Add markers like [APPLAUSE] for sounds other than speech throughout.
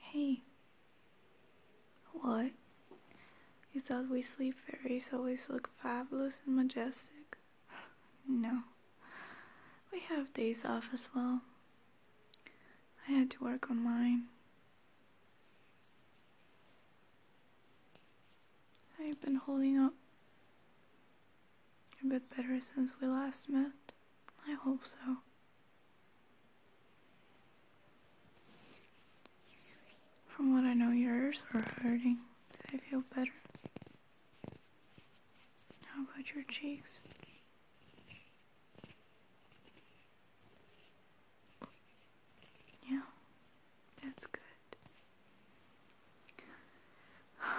Hey. What? You thought we sleep fairies always look fabulous and majestic? [LAUGHS] no. We have days off as well. I had to work on mine. I've been holding up a bit better since we last met. I hope so. From what I know, yours are hurting. Do they feel better? How about your cheeks? Yeah, that's good. [SIGHS]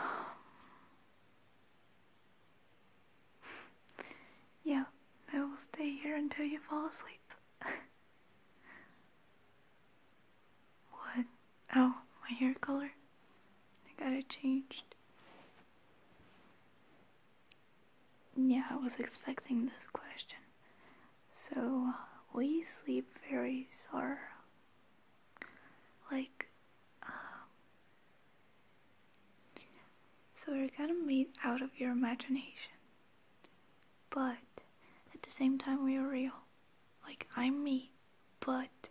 Yeah, I will stay here until you fall asleep. [LAUGHS] what? Oh, my hair color. I got it changed. Yeah, I was expecting this question. So, we sleep fairies are like um, so we are kind of made out of your imagination. But at the same time, we are real. Like, I'm me, but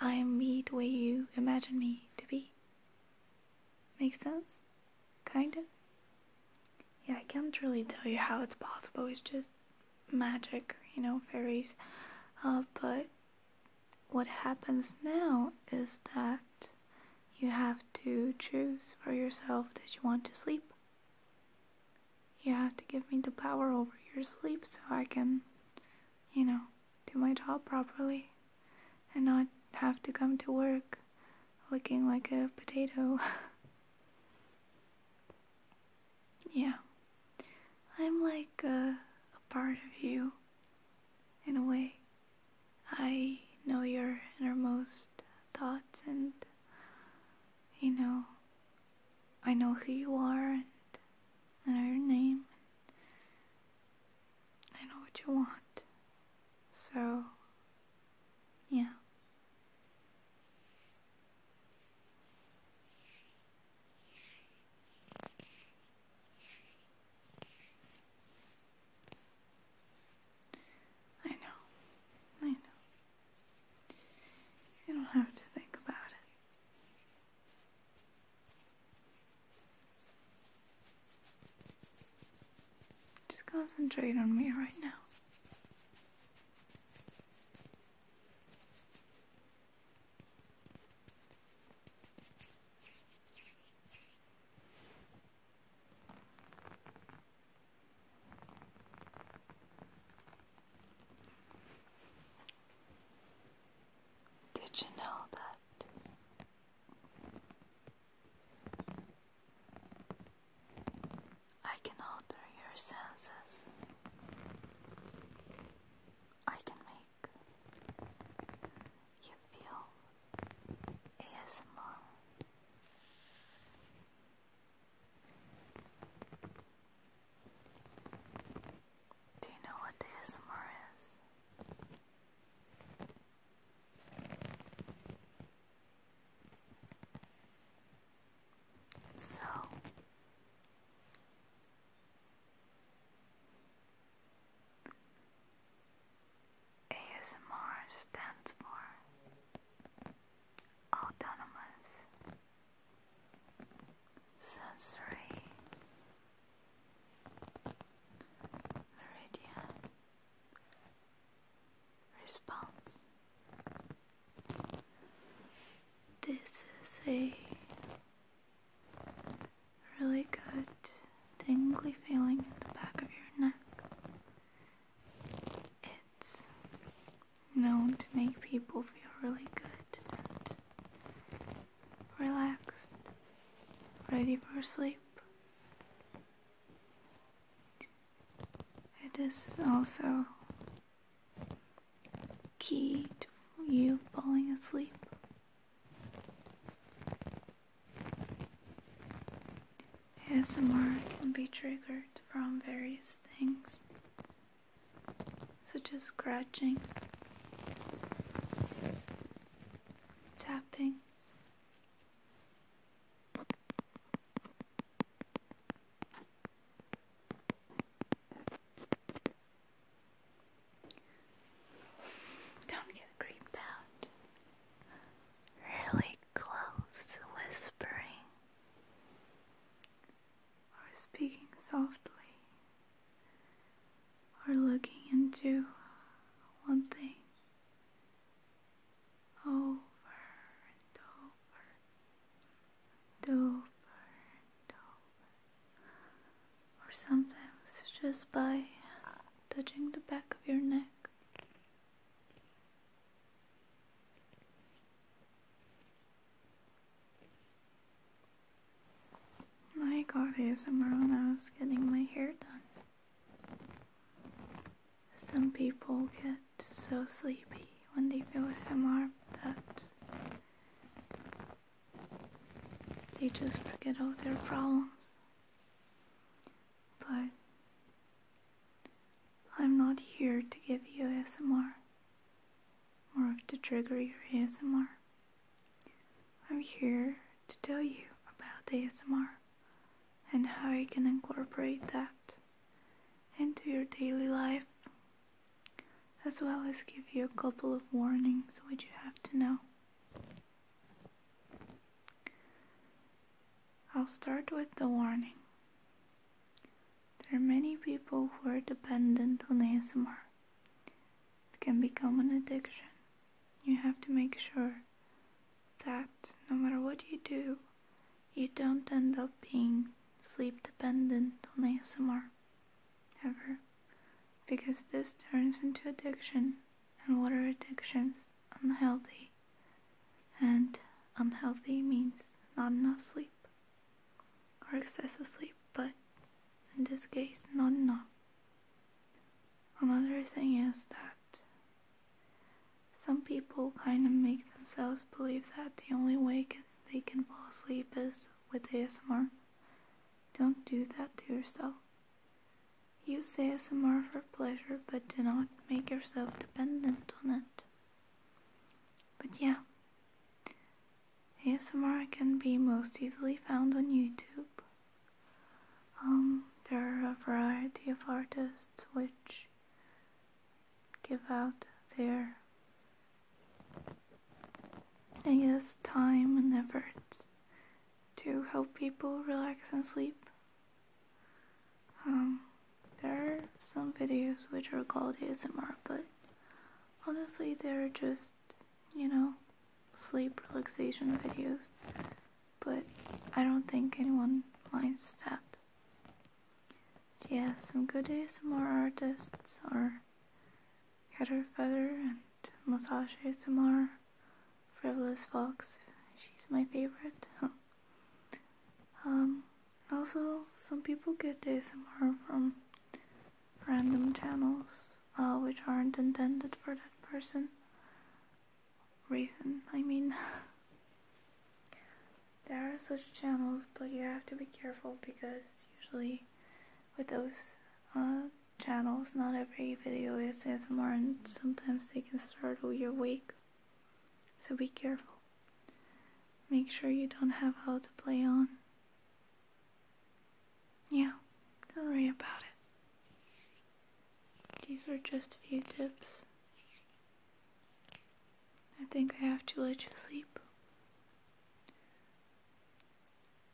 I'm me the way you imagine me to be. Makes sense? Kinda? Yeah, I can't really tell you how it's possible, it's just magic, you know, fairies. Uh, but what happens now is that you have to choose for yourself that you want to sleep. You have to give me the power over your sleep so I can, you know, do my job properly and not have to come to work looking like a potato. [LAUGHS] yeah. I'm like a, part of you in a way. I know your innermost thoughts, and you know, I know who you are, and I know your name, I know what you want. So, yeah. I know. I know. You don't have to think about it. Just concentrate on me right now. Did you know that? I can alter your senses. I can you feel ASMR. Do you know what ASMR is? So, ASMR stands for Autonomous Sensory Meridian Response. This is a really good tingly feeling in the back of your neck. It's known to make people feel really good and relaxed, ready for sleep. It is also key to you falling asleep. ASMR can be triggered from various things, such as scratching, tapping, don't get creeped out. Really close whispering or speaking softly or looking into one thing over and over over and over or sometimes just by touching the back of your neck. I got here somewhere when I was getting my hair done. Some people get so sleepy when they feel SMR that they just forget all their problems. But I'm not here to give you ASMR, or to trigger your ASMR. I'm here to tell you about ASMR and how you can incorporate that into your daily life, as well as give you a couple of warnings which you have to know. I'll start with the warning. There are many people who are dependent on ASMR. It can become an addiction. You have to make sure that no matter what you do, you don't end up being sleep dependent on ASMR. Ever. Because this turns into addiction and water addictions unhealthy, and unhealthy means not enough sleep or excessive sleep, but in this case, not enough. Another thing is that some people kind of make themselves believe that the only way they can fall asleep is with ASMR. Don't do that to yourself. Use ASMR for pleasure, but do not make yourself dependent on it. But yeah, ASMR can be most easily found on YouTube. Um, there are a variety of artists which give out their, I guess, time and effort to help people relax and sleep. Um, there are some videos which are called ASMR, but honestly, they're just, you know, sleep relaxation videos. But I don't think anyone minds that. Yeah, some good more artists are Caterfeather and massage ASMR, Frivolous Fox, she's my favorite. [LAUGHS] Um, also, some people get ASMR from random channels uh, which aren't intended for that person. Reason, I mean. [LAUGHS] there are such channels, but you have to be careful because usually with those, uh, channels. Not every video is as and sometimes they can startle your wake. So be careful. Make sure you don't have how to play on. Yeah, don't worry about it. These are just a few tips. I think I have to let you sleep.